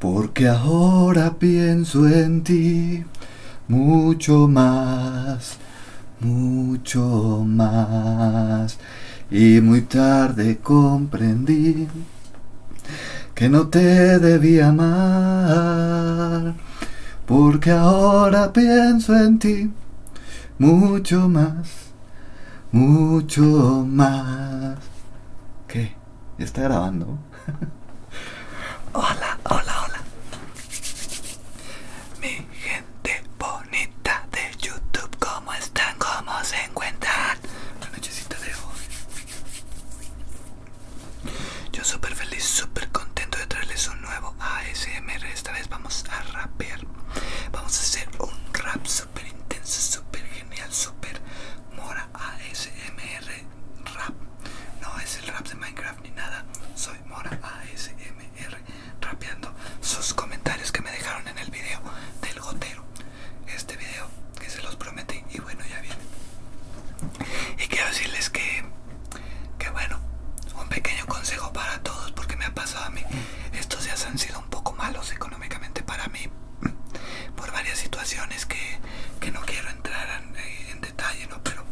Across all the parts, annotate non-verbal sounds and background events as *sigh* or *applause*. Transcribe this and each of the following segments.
Porque ahora pienso en ti mucho más, mucho más. Y muy tarde comprendí que no te debía amar. Porque ahora pienso en ti mucho más, mucho más. ¿Qué? está grabando. hola, hola, hola. Mi gente bonita de YouTube, ¿cómo están? ¿Cómo se encuentran? La nochecita de hoy. Yo súper feliz, súper contento de traerles un nuevo ASMR. Esta vez vamos a rapear. Vamos a hacer un rap super intenso, super genial, super mora ASMR rap. No es el rap de Minecraft ni nada. Soy mora ASMR rapeando sus comentarios que me dejaron en el video del gotero. Este video que se los prometí y bueno, ya viene. Y quiero decirles que, que bueno, un pequeño consejo para todos porque me ha pasado a mí. Estos días han sido un poco malos económicamente para mí *clears throat* por varias situaciones que, que no quiero entrar en, eh, detalle, ¿no? Pero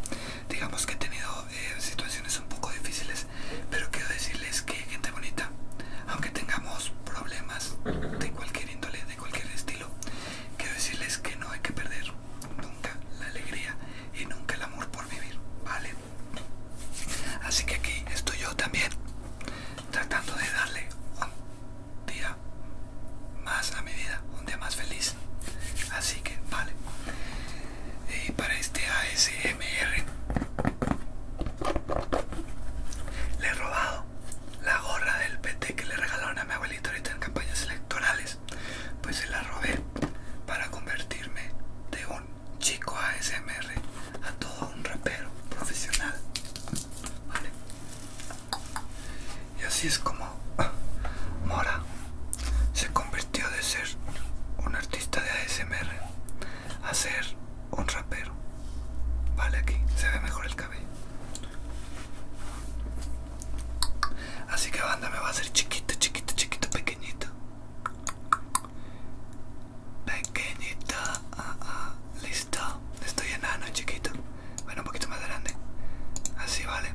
digamos que he tenido eh, situaciones un poco difíciles, pero quiero decirles que gente bonita, aunque tengamos problemas de cualquier índole, de cualquier estilo, quiero decirles que no hay que perder nunca la alegría y nunca el amor por vivir, ¿vale? Así que aquí estoy yo también tratando de darle día más a mi vida, un día más feliz. Así que, vale. Y para este ASMR le he robado la gorra del PT que le regalaron a mi abuelito ahorita en campañas electorales. Pues se la robé para convertirme de un chico ASMR a todo un rapero profesional y así es como ah, Mora se convirtió de ser un artista de ASMR a ser un rapero. Vale, aquí se ve mejor el cabello. Así que banda me va a hacer chiquito, chiquito, chiquito, pequeñito pequeñita. Ah, ah, listo. Estoy enano, chiquito. Bueno, un poquito más grande. Así vale.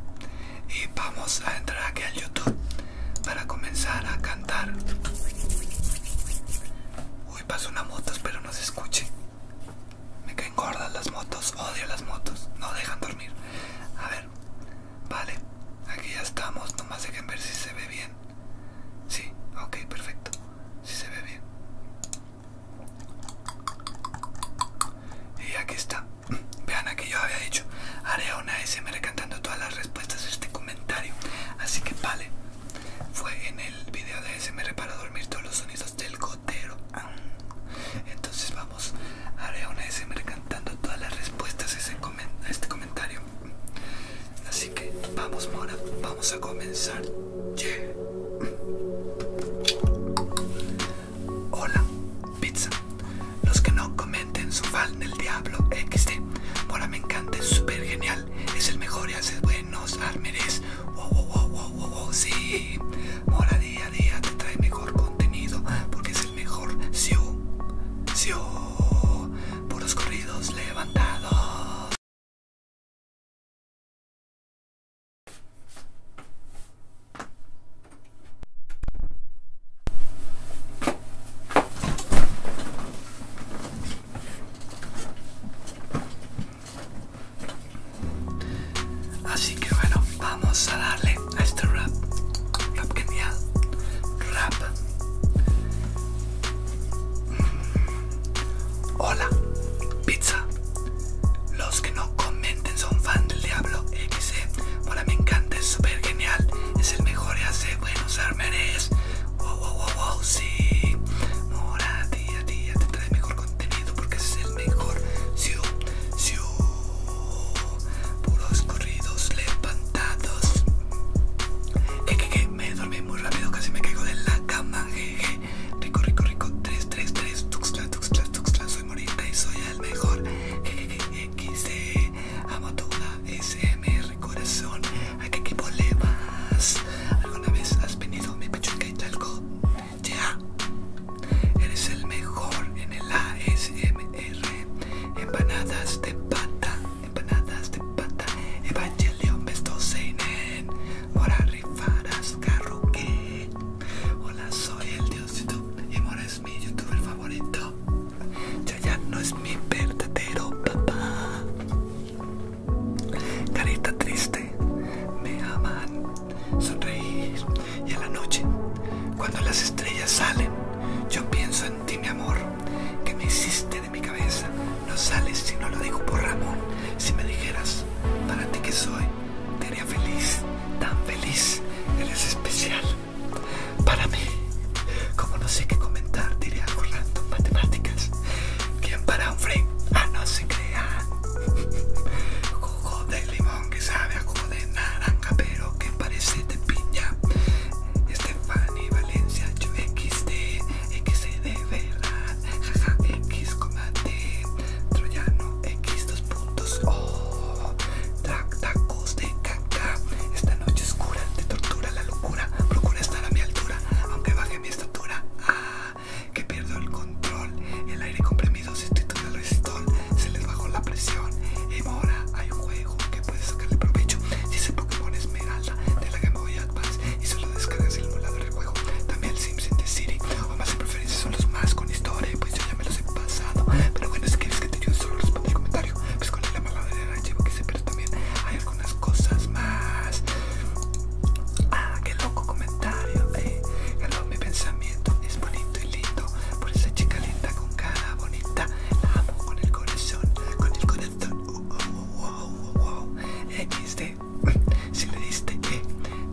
Y vamos a entrar aquí al YouTube para comenzar a cantar. Uy, pasó una moto, pero no se escuche. Me caen gordas las motos, odio las motos, no dejan dormir. A ver, vale, aquí ya estamos, nomás dejen ver si se ve bien. Sí, ok, perfecto. Si se ve bien. Y aquí está. *clears throat* Vean, que yo había dicho, haré una me cantando todas las respuestas a este comentario. Así que vale. Fue en el video de SMR para dormir todos los sonidos del gotero. Entonces vamos, haré una SMR cantando todas las respuestas a este comentario. Así que vamos, Mora, vamos a comenzar. Hola, pizza. Los que no comenten su fan del diablo XD. Mora me encanta, es súper genial. Es el mejor y hace buenos almeres. Wow, wow, wow, wow, wow, wow, sí. Mora día a día te trae mejor contenido porque es el mejor. Siu, por los corridos levantados. Así que bueno, vamos a darle a este rap. Rap genial. Rap. Hola, pizza. Los que no comenten son fan del Diablo XC. Hola, e. me encanta, es súper genial. Es el mejor y hace buenos armenes Wow, wow, wow, wow, sí. Mora, tía, tía, te trae mejor contenido porque es el mejor. Siu, siu. Puros corridos levantados. Que, que, que me dormí muy rápido, casi me caigo de la cama. Jeje. Rico, rico, rico. 3, 3, 3. Tuxtla, tux tuxtla. Soy morita y soy el mejor. Jejeje, XD. E, amo tu SMR corazón. ¿A qué equipo le ¿Alguna vez has venido mi pecho y talco? Ya. Eres el mejor en el ASMR. Empanadas de pata empanadas de pata, Evangelion, Besto Seinen, Mora Rifaras, Carruque. Hola, soy el dios YouTube y Mora es mi youtuber favorito. ya no es mi verdadero papá. Carita triste, me aman sonreír y a la noche, cuando las estrellas salen, yo pienso en ti mi amor, que me hiciste mi cabeza. No sales si no lo digo por Ramón. Si me dijeras, para ti que soy, te haría feliz, tan feliz. Eres especial. Para mí, como no sé qué comentar, diría algo matemáticas. ¿Quién para un frame? Ah, no se crea, *laughs* Jugo de limón que sabe a jugo de naranja, pero que parece de piña. Este Fanny Valencia, yo XD, XD de verdad, jaja, X D Troyano X dos puntos, oh, de caca, esta noche oscura, te tortura la locura, procura estar a mi altura, aunque baje mi estatura, ah, que pierdo el control, el aire comprimido se al resistor. se les bajó la presión, y mora, hay un juego que puedes sacarle provecho. Si ese Pokémon Esmeralda de la Game Boy Advance y solo descargas el emulador del juego. También el Sims de City, o más en preferencia son los más con historia, pues yo ya me los he pasado. Pero bueno, si quieres que te ayude, solo responde el comentario. Pues con la mala del archivo que sé, pero también hay algunas cosas más. Ah, qué loco comentario, eh. Hello, mi pensamiento es bonito y lindo. Por esa chica linda con cara bonita, la amo con el corazón, con el corazón. XD este, si le diste E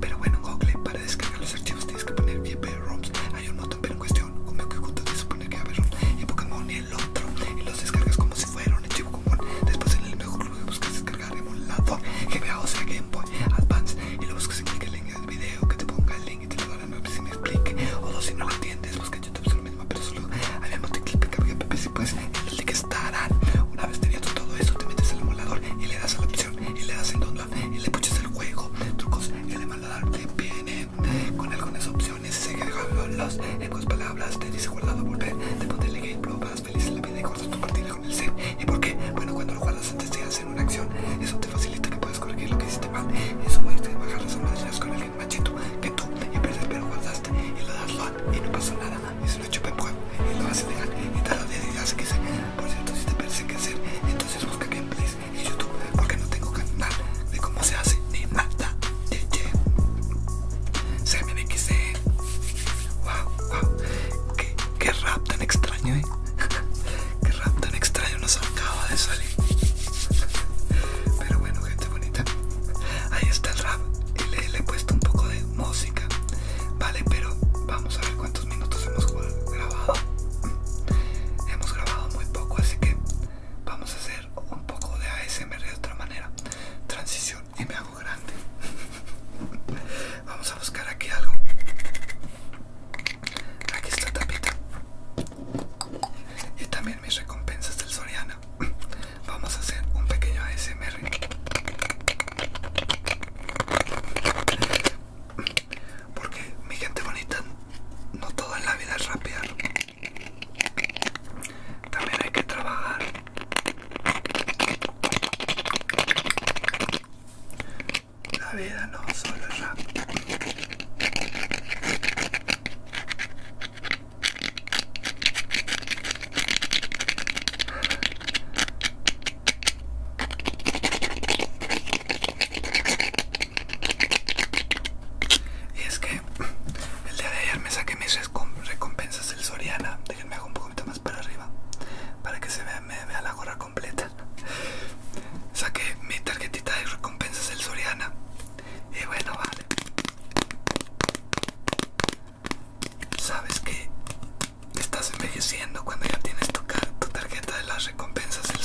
pero bueno Google para descargar los archivos tienes que poner YP ROMs hay un montón pero en cuestión como que tienes que poner que haber y Pokémon y el otro y los descargas como si fuera un archivo común después en el mejor club buscas descargar emulador GBA o sea Game Boy Advance y lo buscas en clic el video que te ponga el link y te lo ver si me explique o si no lo entiendes YouTube es mismo, pero solo de clip que había si y pues que el link estarán. Una vez tenías todo eso, te metes al emulador y le das a la opción y le das en download y le puches el juego. Trucos, el emulador te viene con algunas opciones. Se los en dos palabras, te dice guardado, volver, te pone el game, vas feliz en la vida y cortas tu partida con el set. ¿Y por qué? Bueno, cuando lo guardas antes de hacer una acción, eso te facilita que puedas corregir lo que hiciste mal. Eso a bajar las almohadillas con el machito que tú y pero guardaste y lo das lot y no pasó nada y se lo chupa el pueblo y lo hace legal y te y te que se por cierto si te parece que hacer entonces busca gameplays en youtube porque no tengo canal de cómo se hace ni nada se me wow wow qué, rap tan extraño eh *laughs* qué rap tan extraño nos acaba de salir pero bueno, gente bonita. Ahí está el rap. Le, le he puesto un poco de música. Vale, pero vamos a ver cuántos minutos hemos grabado. Mm, hemos grabado muy poco, así que vamos a hacer un poco de ASMR de otra manera. Transición y me hago grande. *laughs* Vamos a buscar aquí algo. Aquí está tapita. Y también mis recompensas del Soriana, *clears throat* vamos a hacer un pequeño ASMR. *clears throat* Porque mi gente bonita, no toda la vida es rapear. También hay que trabajar. La vida no solo es rap. Y es que el día de ayer me saqué mis recompensas del Soriana. Déjenme hago un poquito más para arriba para que se vea, la gorra completa. Saqué mi tarjetita de recompensas del Soriana y bueno, vale. Sabes que estás envejeciendo cuando ya tienes tu, tu tarjeta de las recompensas del *laughs*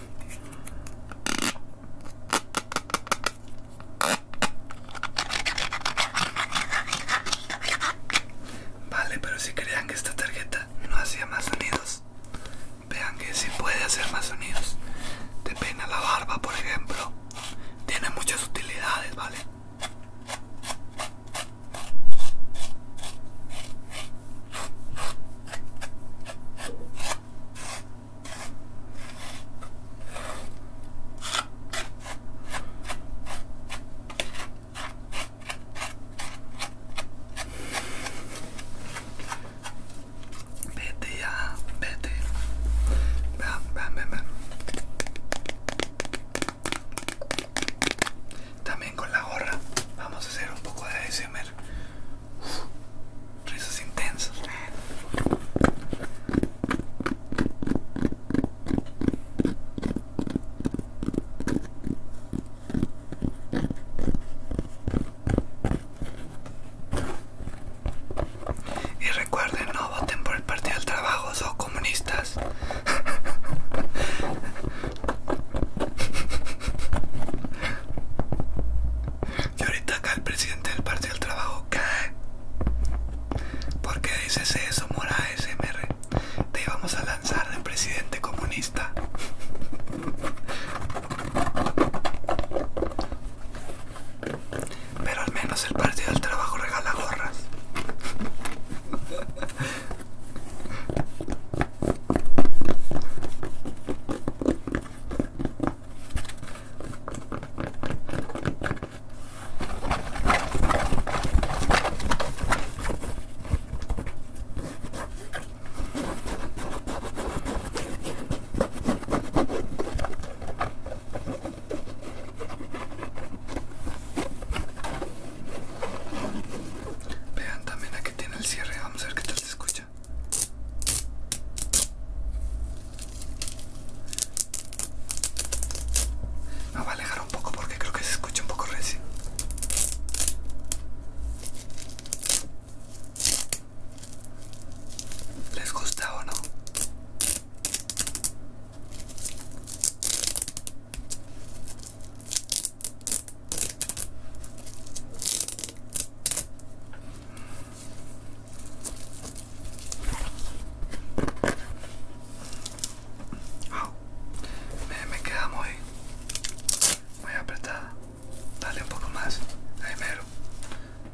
Vale, pero si crean que esta tarjeta no hacía más sonidos, vean que sí puede hacer más sonidos. De pena la barba, por ejemplo. Tiene muchas utilidades, ¿vale? Vete ya, vete. También con la gorra vamos a hacer un poco de decimer Risas intensos Y recuerden, no voten por el Partido del Trabajo, son comunistas. *laughs* Y ahorita acá el presidente del Partido del Trabajo cae. ¿Por qué dices eso, Mora SMR? Te íbamos a lanzar de presidente comunista. Pero al menos el Partido del Trabajo regala gorras. Vean también que tiene el cierre, vamos a ver qué tal se escucha. Me voy a alejar un poco porque creo que se escucha un poco recio. ¿Les gusta o no? me, queda muy, apretada. Dale un poco más. Ahí mero.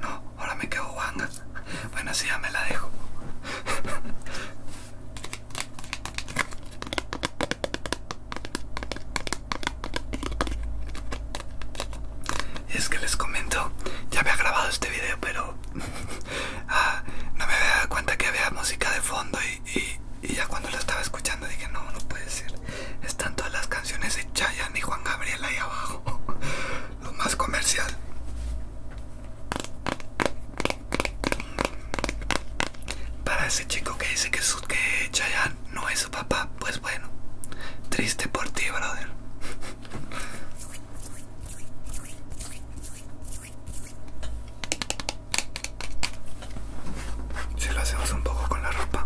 No, ahora me quedo guanga. Bueno, así ya me la dejo. *laughs* es que les comento, ya había grabado este video, pero *laughs* ah, no me había dado cuenta que había música de fondo y, ya cuando lo estaba escuchando dije, no, no puede ser. Están todas las canciones de Chayanne y Juan Gabriel ahí abajo. *laughs* Lo más comercial. Para ese chico que dice que, que Chayanne no es papá, pues bueno, triste por ti, brother. Si lo hacemos un poco con la ropa.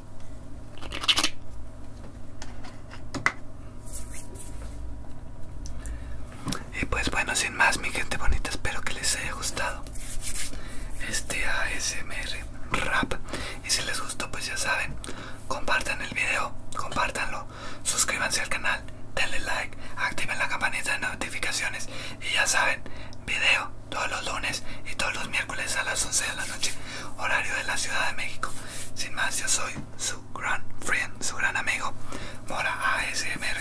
Y pues bueno, sin más mi gente bonita, espero que les haya gustado este ASMR rap. Y si les gustó, pues ya saben, compartan el video, compartanlo, suscríbanse al canal, denle like, activen la campanita de notificaciones. Y ya saben, video todos los lunes y todos los miércoles a las 11 de la noche horario de la Ciudad de México. Sin más, yo soy su gran friend, su gran amigo, Mora ASMR.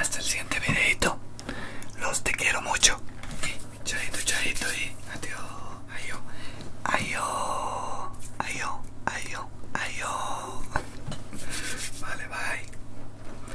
Hasta el siguiente videito. Los te quiero mucho. Chaito, chaito y adiós. Adiós. Adiós. Adiós. Adiós. Adiós. Vale, bye.